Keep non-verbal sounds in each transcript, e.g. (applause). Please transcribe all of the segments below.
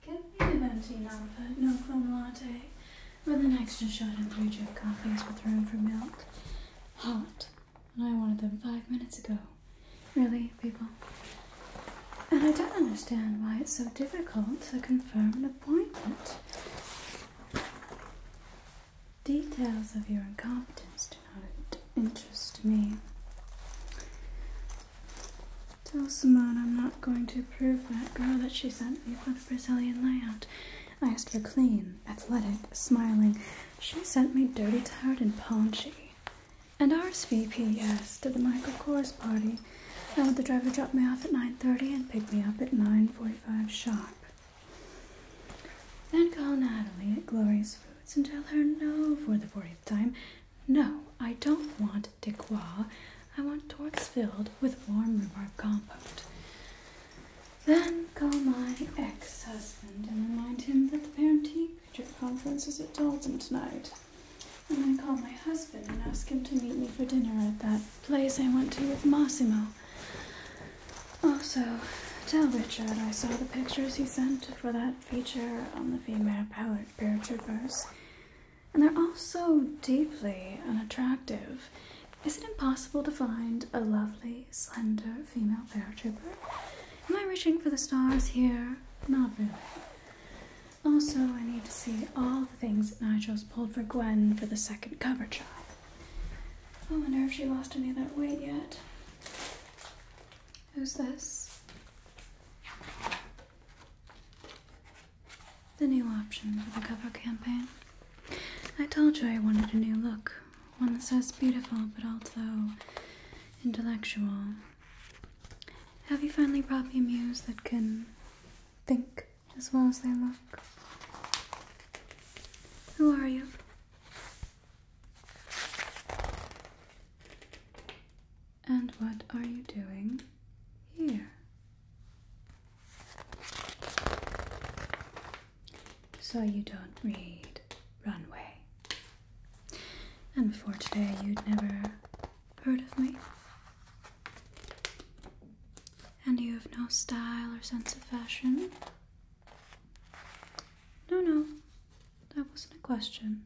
Give me an empty number, no foam latte, with an extra shot and three drip coffees with room for milk. Hot. And I wanted them five minutes ago. Really, people? And I don't understand why it's so difficult to confirm an appointment. Details of your incompetence do not interest me. Tell Simone I'm not going to approve that girl that she sent me for the Brazilian layout. I asked for clean, athletic, smiling. She sent me dirty, tired, and paunchy. And RSVP, yes, to the Michael Kors party. I had the driver drop me off at 9.30 and pick me up at 9.45 sharp. Then call Natalie at Glorious Foods and tell her no for the 40th time no, I don't want decois. I want torts filled with warm rhubarb compote. Then call my ex-husband and remind him that the parenting teacher conference is at Dalton tonight. And I call my husband and ask him to meet me for dinner at that place I went to with Massimo. Also, tell Richard I saw the pictures he sent for that feature on the female power paratroopers and they're all so deeply unattractive. Is it impossible to find a lovely, slender female fair trooper? Am I reaching for the stars here? Not really. Also, I need to see all the things that Nigel's pulled for Gwen for the second cover shot. Oh, I wonder if she lost any of that weight yet. Who's this? the new option for the cover campaign. I told you I wanted a new look, one that says beautiful but also intellectual. Have you finally brought me a muse that can think as well as they look? Who are you? And what are you doing here? So you don't read Runway. And before today, you'd never heard of me. And you have no style or sense of fashion? No, no, that wasn't a question.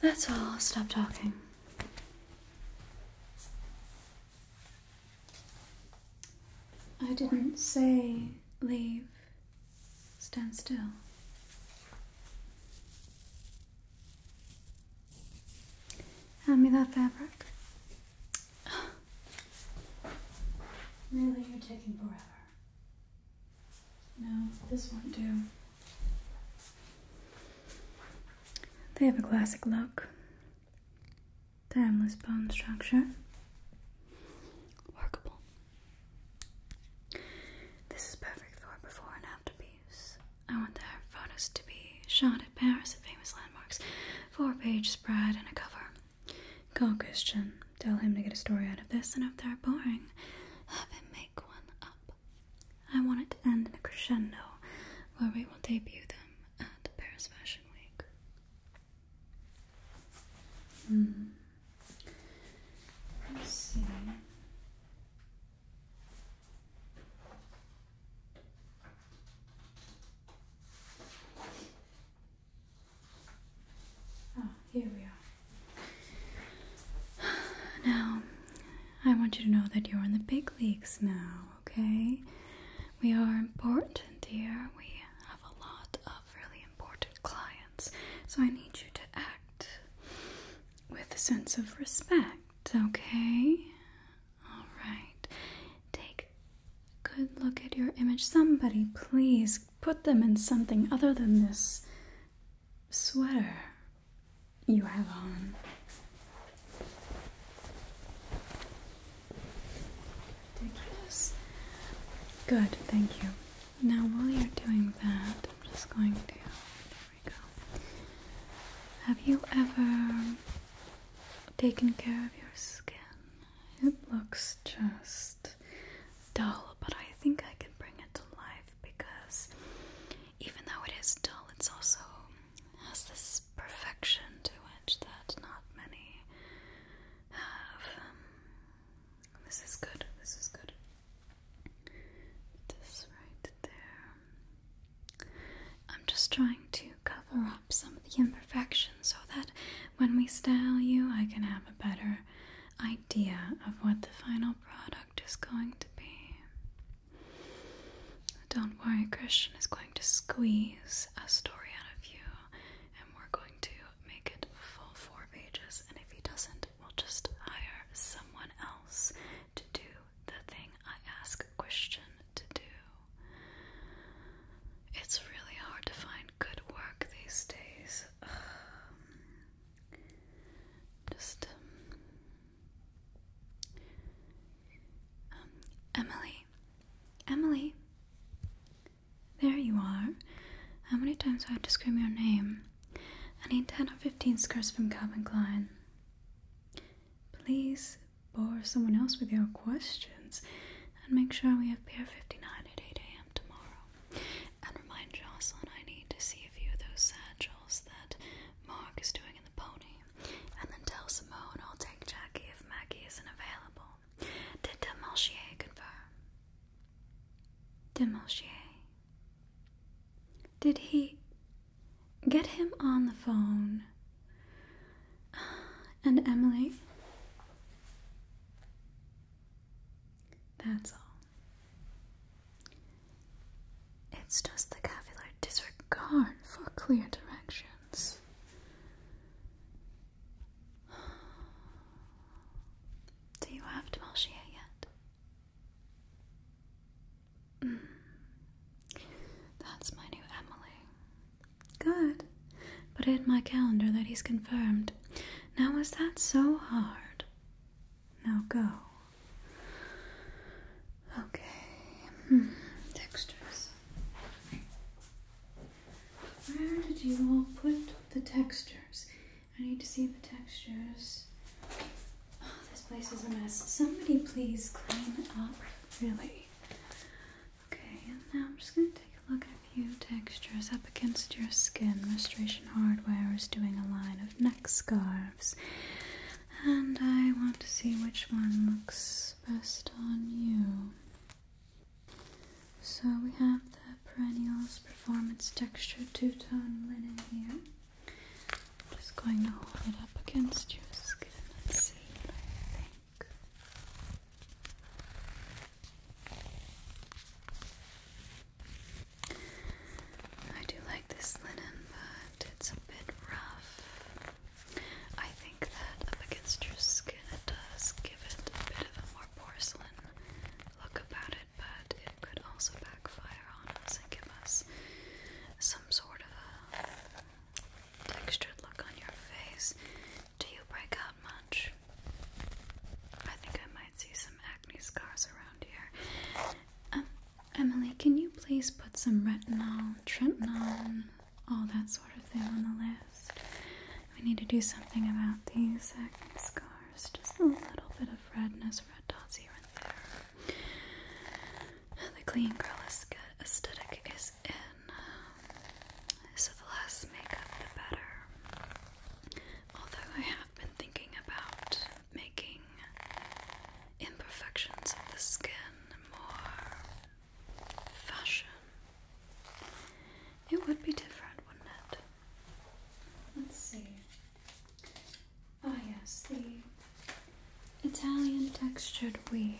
That's all. stop talking. I didn't say leave. Stand still. Hand me that fabric. (sighs) really, you're taking forever. No, this won't do. They have a classic look. Timeless bone structure. Workable. This is perfect for before and after piece. I want their photos to be shot at Paris the famous landmarks. Four page spread and a cover. Call Christian. Tell him to get a story out of this, and if they're boring, have him make one up. I want it to end in a crescendo where we will debut them at Paris Fashion Week. Hmm. Let's see. Ah, here we are. (sighs) Now, I want you to know that you're in the big leagues now, okay? We are important dear. We have a lot of really important clients, so I need you to act with a sense of respect, okay? Alright. Take a good look at your image. Somebody, please put them in something other than this sweater you have on. Ridiculous. Good, thank you. Now, while you're doing that, I'm just going to. There we go. Have you ever taken care of your skin? It looks just dull, but I think I can bring it to life because even though it is dull, it's also has this perfection to it that not many have. Um, this is good, this is good. This right there. I'm just trying to cover up some of the imperfections so that when we style you, I can have a better idea of what the final product is going to be. Don't worry, Christian is going to squeeze a story out of you, and we're going to make it full four pages. And if he doesn't, we'll just hire someone else to do the thing I ask Christian to do. It's really hard to find good work these days. (sighs) just um, um, Emily, Emily, there you are. How many times do I have to scream your name? I need 10 or 15 skirts from Calvin Klein. Please bore someone else with your questions and make sure we have Pier 59 at 8 a.m. tomorrow. And remind Jocelyn I need to see a few of those satchels that Mark is doing in the pony, and then tell Simone I'll take Jackie if Maggie isn't available. Did Demarchier confirm? Demarchier. Did he get him on the phone? (sighs) And Emily? That's all. It's just the cavalier disregard for clear directions. Do you have Demalchia yet? Mm. That's my new Emily. Good. but in my calendar that he's confirmed. Now, is that so hard? Now go. Okay. Hmm. Textures. Where did you all put the textures? I need to see the textures. Oh, this place is a mess. Somebody please clean up, really. Okay, and now I'm just going to take a look at a few textures up against your skin. Restoration Hardware is doing a line of neck scarves and I want to see which one looks best on you. So we have the Perennials Performance Texture Two Tone Linen here. I'm just going to hold it up against your skin and see what I think. I do like this linen, but it's a bit rough. I think that up against your skin it does give it a bit of a more porcelain look about it, but it could also backfire on us and give us some sort of a textured look on your face. Do you break out much? I think I might see some acne scars around here. Um, Emily, can you please put some retinol, tretinoin, all that sort of thing on the list? We need to do something about these acne scars. Just a little bit of redness, red dots here and there. The clean girl aesthetic is in. So the less makeup, the better. Although I have been thinking about making imperfections of the skin more fashion. It would be different, wouldn't it? Let's see. Oh, yes, the Italian textured weave.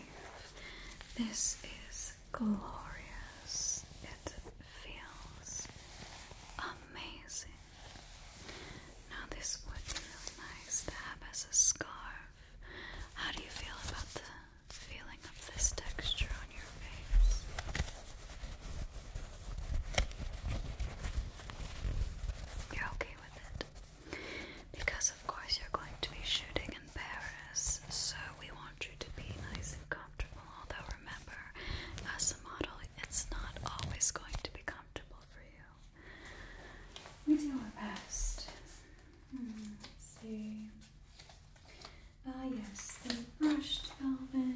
This is glorious. It feels amazing. Now this would be really nice to have as a scarf. How do you feel about the feeling of this texture on your face? You're okay with it? Because of course you're going to be shooting in Paris, so we want you to be nice and comfortable, although remember, as a model, it's not always going to be comfortable for you we do our best. Hmm, let's see. Ah, yes, the brushed velvet.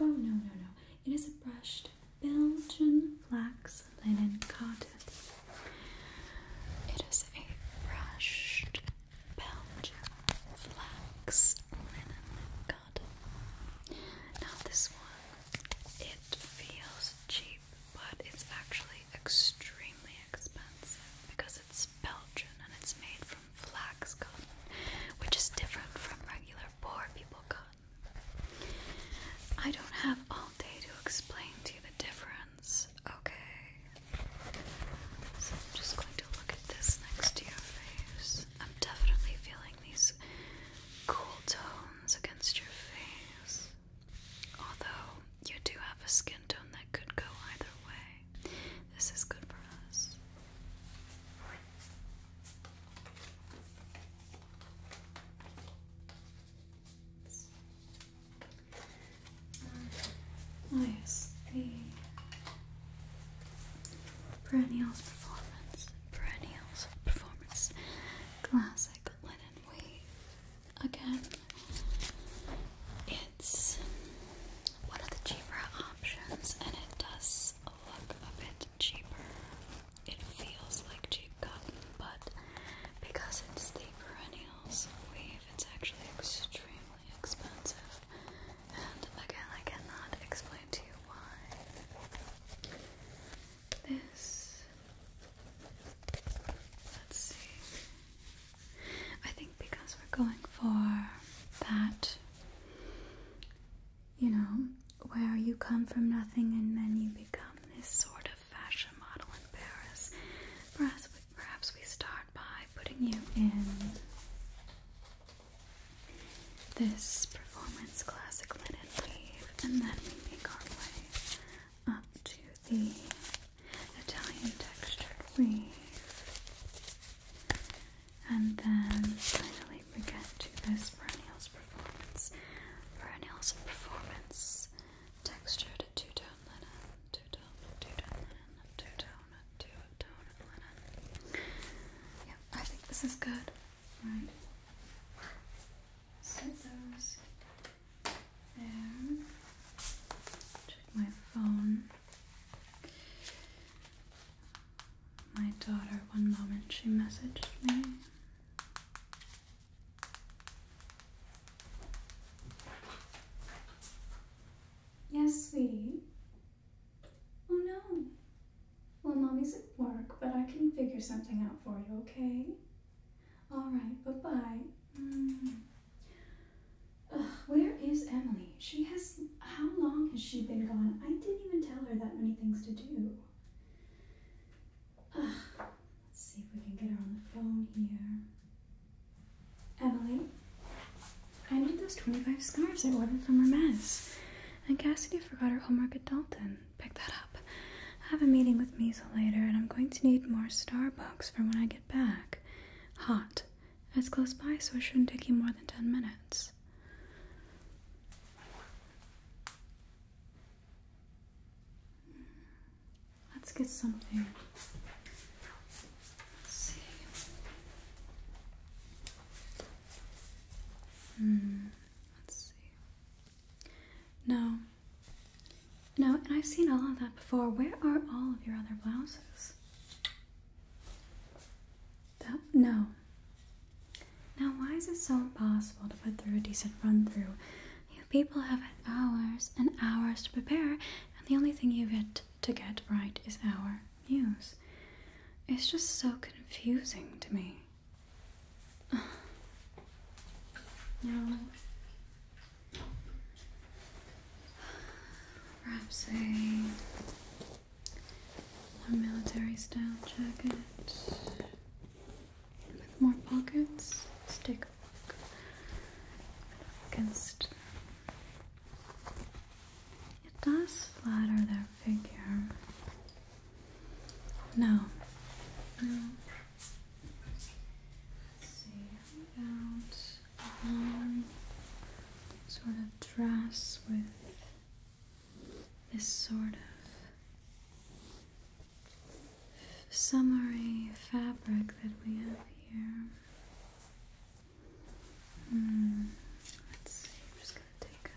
Oh, no, no, no. It is a brushed Belgian flax linen cotton. It is a brushed Belgian flax linen cotton. Now, this one, it feels cheap but it's actually extremely expensive because it's Belgian and it's made from flax cotton, which is different from regular poor people cotton. I don't have all day to explain to you the difference, okay? So I'm just going to look at this next to your face. I'm definitely feeling these cool tones against your face. Although you do have a skin tone that could go either way, this is good for us. Um, oh perennials performance, perennials performance, classic linen wave. Again, it's one of the cheaper options, and it does look a bit cheaper. It feels like cheap cotton, but because it's the perennials weave, it's actually extremely expensive. And again, I cannot explain to you why this. Let's see. I think because we're going for that, you know, where you come from nothing and then you become this sort of fashion model in Paris. Perhaps we, perhaps we start by putting you in this performance classic linen weave, and then we make our way up to the Italian texture weave. And then finally we get to this perennials performance. Perennials performance textured two-tone linen, two-tone, two-tone linen, two-tone, two-tone linen. Yeah, I think this is good. Right set those there. Check my phone. My daughter, one moment, she messaged me. Yes, sweetie. Oh no. Well, mommy's at work, but I can figure something out for you, okay? All right, bye bye. Mm-hmm. where is Emily? She has. How long has she been gone? I didn't even tell her that many things to do. let's see if we can get her on the phone here. Emily, I need those 25 scarves I ordered from Hermes. And Cassidy forgot her homework at Dalton pick that up. I have a meeting with Meisel later, and I'm going to need more Starbucks for when I get back. Hot. It's close by, so it shouldn't take you more than 10 minutes. Let's get something. Let's see. Hmm, let's see. No, no, and I've seen all of that before. Where are all of your other blouses? That, no. Now, why is it so impossible to put through a decent run through? You people have hours and hours to prepare, and the only thing you get to get right is our news. It's just so confusing to me. No. perhaps a more military style jacket with more pockets. Let's take a look against. It does flatter their figure. No, no, Let's see about a um, long sort of dress with this sort of summery fabric that we have here. Hmm, let's see. I'm just gonna take a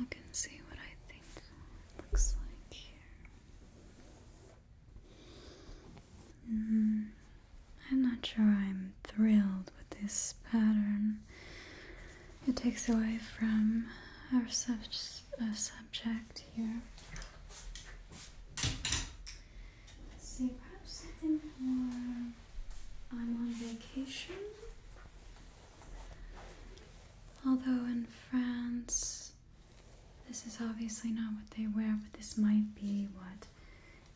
look and see what I think looks like here. Mm-hmm. I'm not sure I'm thrilled with this pattern. It takes away from our sub uh, subject here. Let's see, perhaps something more. I'm on vacation. Although in France, this is obviously not what they wear, but this might be what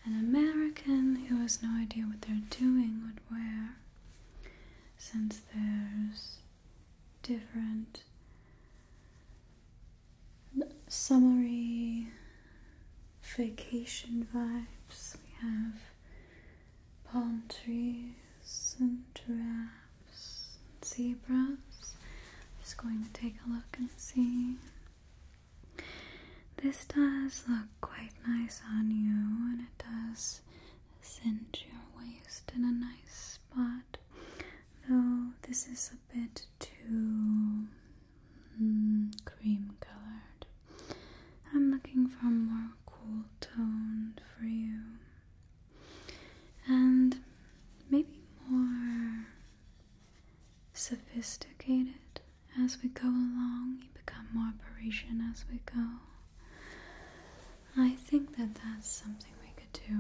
an American who has no idea what they're doing would wear. Since there's different summery vacation vibes, we have palm trees and giraffes giraffes and zebras. Just going to take a look and see. This does look quite nice on you, and it does cinch your waist in a nice spot. Though this is a bit too mm, cream colored. I'm looking for a more cool tone for you and maybe more sophisticated as we go along. become more Parisian as we go. I think that that's something we could do.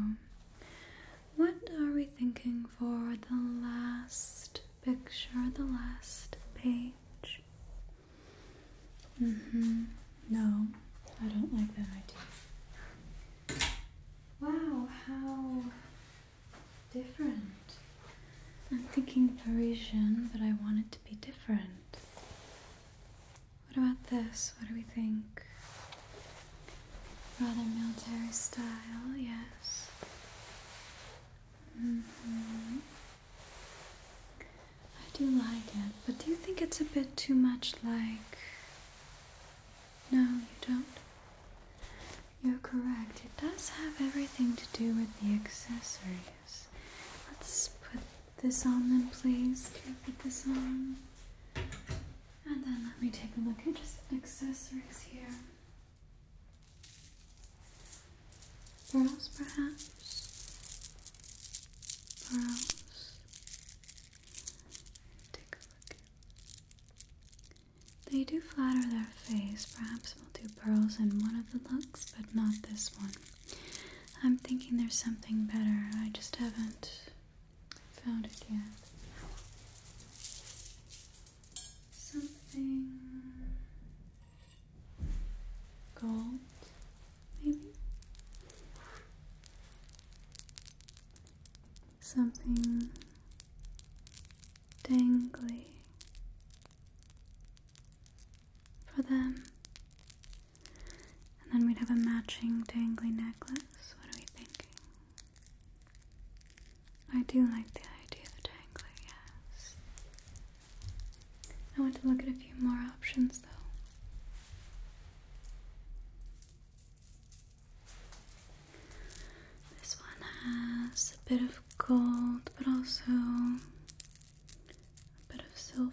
What are we thinking for the last picture, the last page? Mm-hmm. No, I don't like that idea. Wow, how different. I'm thinking Parisian, but I want it to be different. What about this? What do we think? Rather military style, yes. hmm I do like it, but do you think it's a bit too much like no, you don't. You're correct. It does have everything to do with the accessories. Let's put this on then, please. Can you put this on? And then let me take a look at just accessories here. Pearls, perhaps? Pearls. Take a look they do flatter their face. Perhaps we'll do pearls in one of the looks, but not this one. I'm thinking there's something better. I just haven't found it yet. Something gold, maybe? something dangly for them. And then we'd have a matching dangly necklace. What are we thinking? I do like the idea of the dangly, yes. I want to look at a few more options though. This one has a bit of gold, but also a bit of silver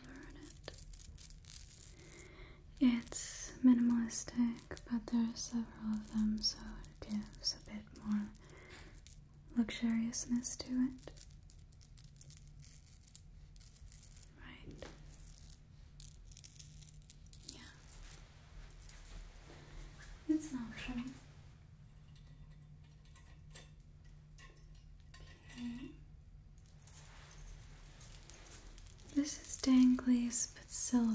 in it. It's minimalistic, but there are several of them, so it gives a bit more luxuriousness to it. Right. Yeah. It's an option. Okay. This is danglaze but silver.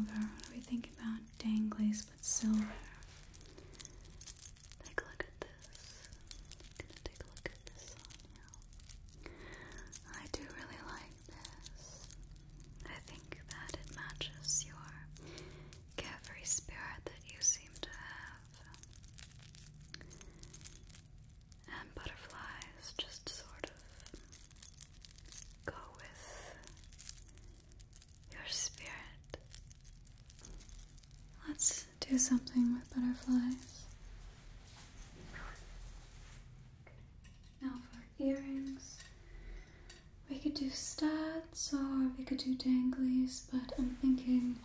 We think about danglaze but silver. Take a look at this. gonna take a look at this I do really like wearing I think that it matches your carefree spirit that you seem to have. And butterflies just sort of go with your spirit. Let's do something with butterflies. Now for earrings, we could do studs or we could do danglies, but I'm thinking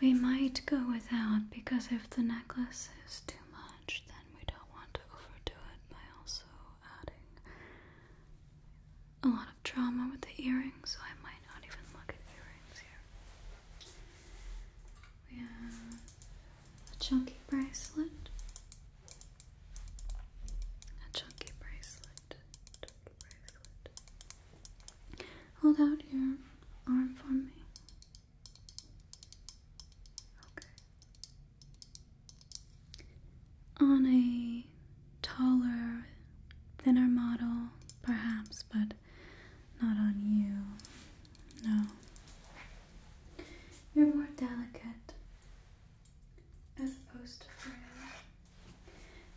we might go without because if the necklace is too much, then we don't want to overdo it by also adding a lot of drama with the earrings, so I might not even look at earrings here. We a chunky bracelet, a chunky bracelet, Hold out your arm for me. Okay. On a taller, thinner model, perhaps, but not on you. No. You're more delicate as opposed to frill.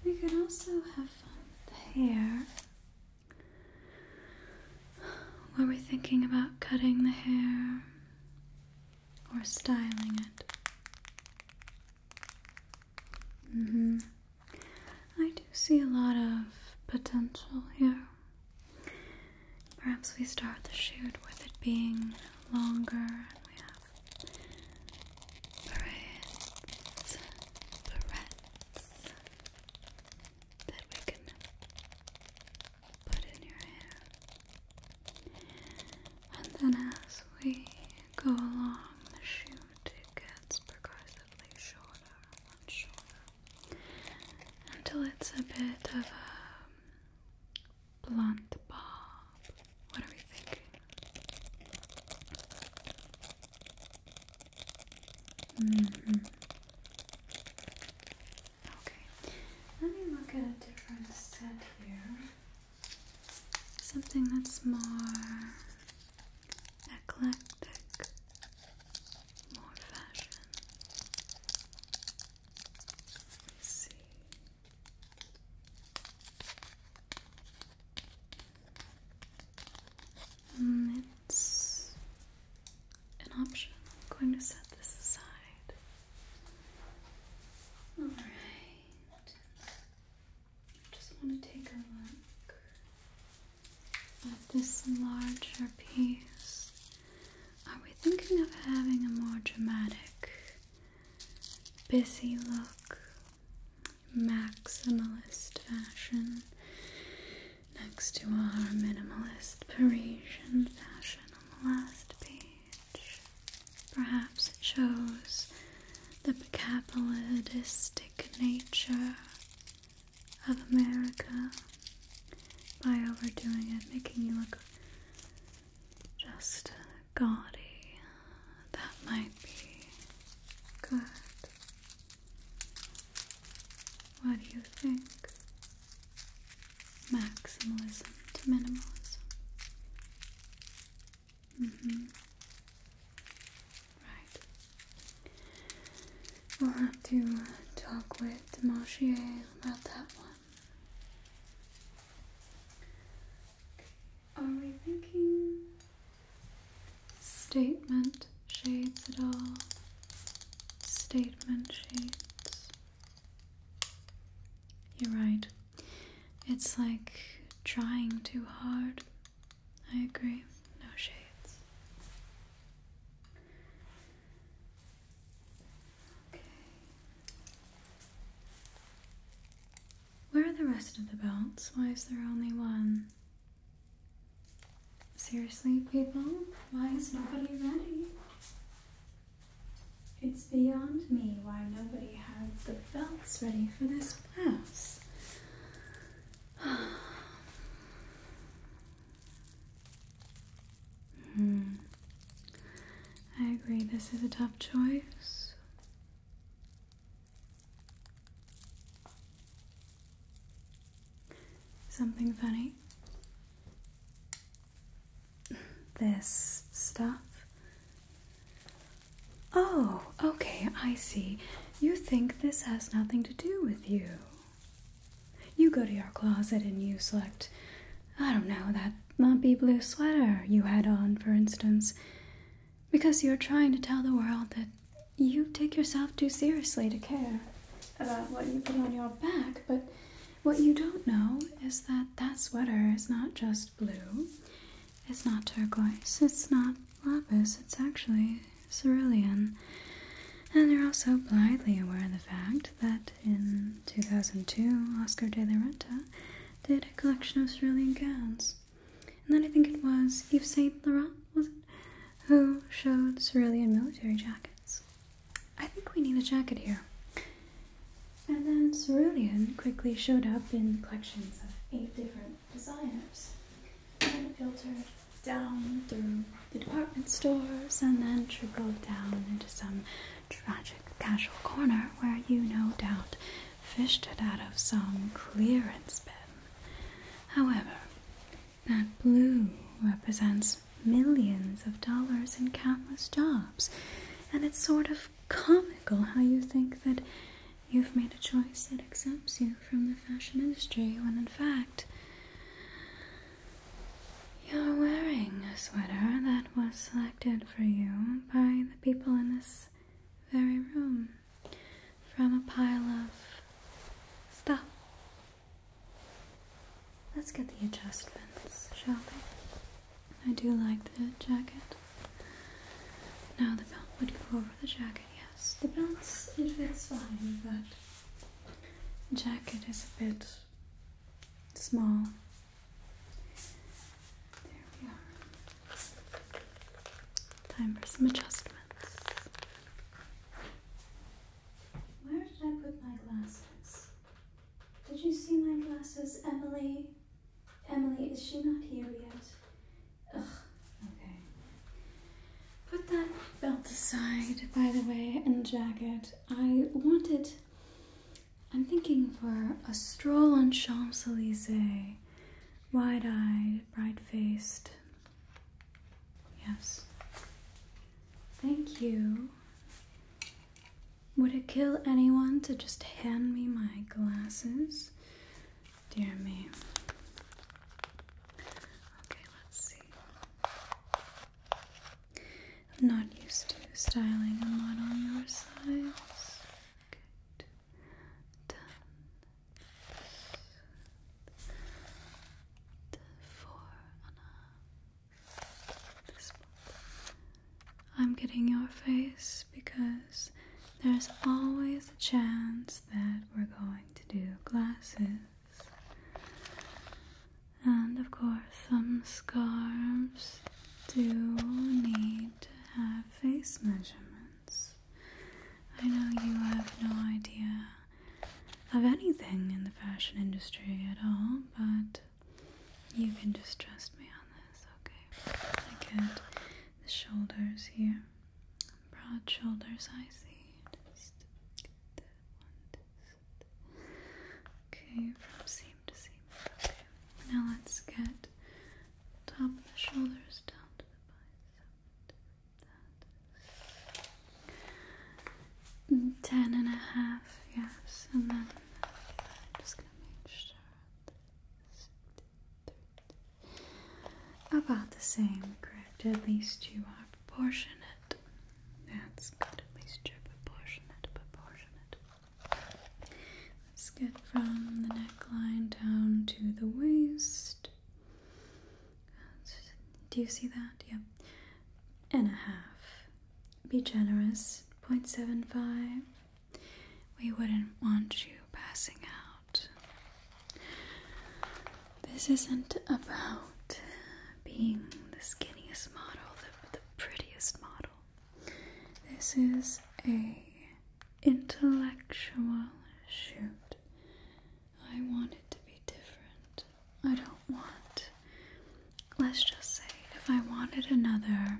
We can also have fun with the hair. Were we thinking about cutting the hair or styling it? Mm-hmm. I do see a lot of potential here. Perhaps we start the shoot with it being longer and we have barrettes, barrettes that we can put in your hair. And then as we go along the shoot, gets progressively shorter and shorter until it's a bit of a Blunt Bob. What are we thinking? Mm-hmm. Okay, let me look at a different set here. Something that's more eclectic, more fashion. Let's see. Mm, it's an option. I'm going to set this aside. Alright. I just want to take a look at this larger piece are we thinking of having a more dramatic, busy look, maximalist fashion next to our minimalist Parisian fashion on the last page? Perhaps it shows the capitalistic nature of America by overdoing it, making you look just gaudy. That might be good. What do you think? Maximalism to minimalism. Mm-hmm. Right. We'll have to talk with Demarchier about that one. Are we thinking statement shades at all? Statement shades. You're right. It's like trying too hard. I agree. No shades. Where are the rest of the belts? Why is there only one? Seriously, people? Why is nobody ready? It's beyond me why nobody has the belts ready for this class. (sighs) (sighs) Hmm. I agree, this is a tough choice. Something funny? This stuff? Oh, okay, I see. You think this has nothing to do with you. You go to your closet and you select, I don't know, that lumpy blue sweater you had on, for instance, because you're trying to tell the world that you take yourself too seriously to care about what you put on your back. But what you don't know is that that sweater is not just blue, it's not turquoise, it's not lapis, it's actually cerulean. And they are all so blithely aware of the fact that in 2002, Oscar de la Renta did a collection of cerulean gowns. And then I think it was Yves Saint Laurent, was it? Who showed cerulean military jackets. I think we need a jacket here. And then cerulean quickly showed up in collections of eight different designers. And filtered down through the department stores and then trickled down into some tragic casual corner where you no doubt fished it out of some clearance bin. However, that blue represents millions of dollars in countless jobs, and it's sort of comical how you think that you've made a choice that exempts you from the fashion industry when in fact you're wearing a sweater that was selected for you by the people in this very room from a pile of stuff. Let's get the adjustments, shall we? I do like the jacket. Now the belt would go over the jacket, yes. The belt, it fits fine, but jacket is a bit small Time for some adjustments. Where did I put my glasses? Did you see my glasses, Emily? Emily, is she not here yet? Ugh, okay. Put that belt aside, by the way, and jacket. I wanted I'm thinking for a stroll on Champs Elysees, wide eyed, bright faced. Yes. Thank you. Would it kill anyone to just hand me my glasses? Dear me. Okay, let's see. I'm not used to styling a lot on your size. I'm getting your face because there's always a chance that we're going to do glasses. And of course, some scarves do need to have face measurements. I know you have no idea of anything in the fashion industry at all, but you can just trust me on this, okay? I get the shoulders here. Broad shoulders, I see. Okay, from seam to seam. Okay. Now let's get top of the shoulders down to the bicep. And ten and a half, yes, and then I'm just gonna make sure about the same, correct? At least you are proportionate. That's good. At least you're proportionate, proportionate, Let's get from the neckline down to the waist. Do you see that? Yep. And a half. Be generous. 0.75. We wouldn't want you passing out. This isn't about being the skinniest model, the, the prettiest model. This is a intellectual shoot. I want it to be different. I don't want let's just say if I wanted another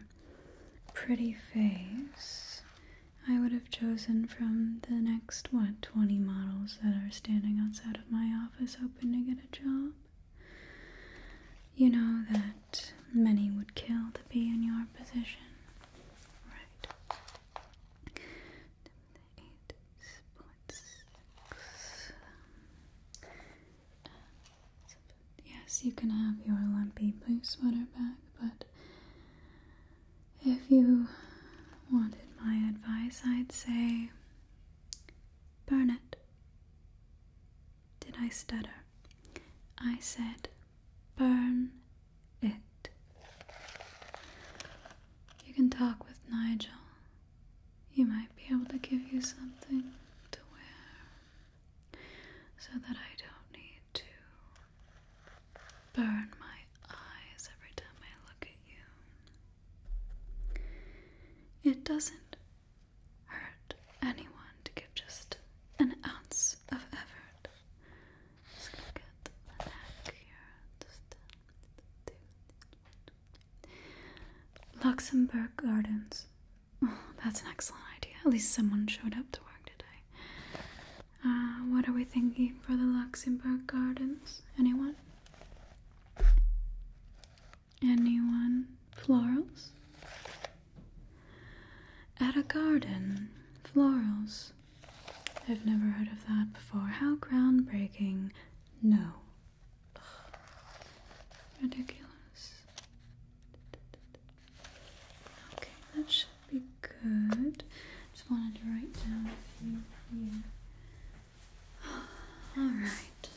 pretty face, I would have chosen from the next what 20 models that are standing outside of my office hoping to get a job. You know that many would kill to be in your position. Right. Yes, you can have your lumpy blue sweater back, but if you wanted my advice, I'd say burn it did I stutter? I said, burn it. You can talk with Nigel. He might be able to give you something to wear so that I don't need to burn my eyes every time I look at you. It doesn't hurt anyone to give just an ounce of effort. Luxembourg Gardens. Oh, that's an excellent idea. At least someone showed up to work today. Uh, what are we thinking for the Luxembourg Gardens? Anyone? Anyone? Florals? At a garden, florals. I've never heard of that before. How groundbreaking. No. Ridiculous. Okay, that should be good. Just wanted to write down a few here. (sighs) Alright.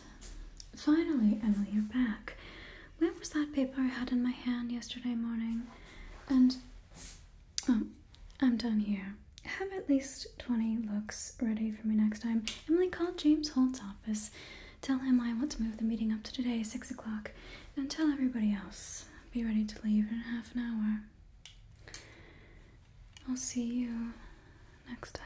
Finally, Emily, you're back where was that paper I had in my hand yesterday morning? And oh, I'm done here. have at least 20 looks ready for me next time. Emily called James Holt's office. Tell him I want to move the meeting up to today, 6 o'clock, and tell everybody else. Be ready to leave in half an hour. I'll see you next time.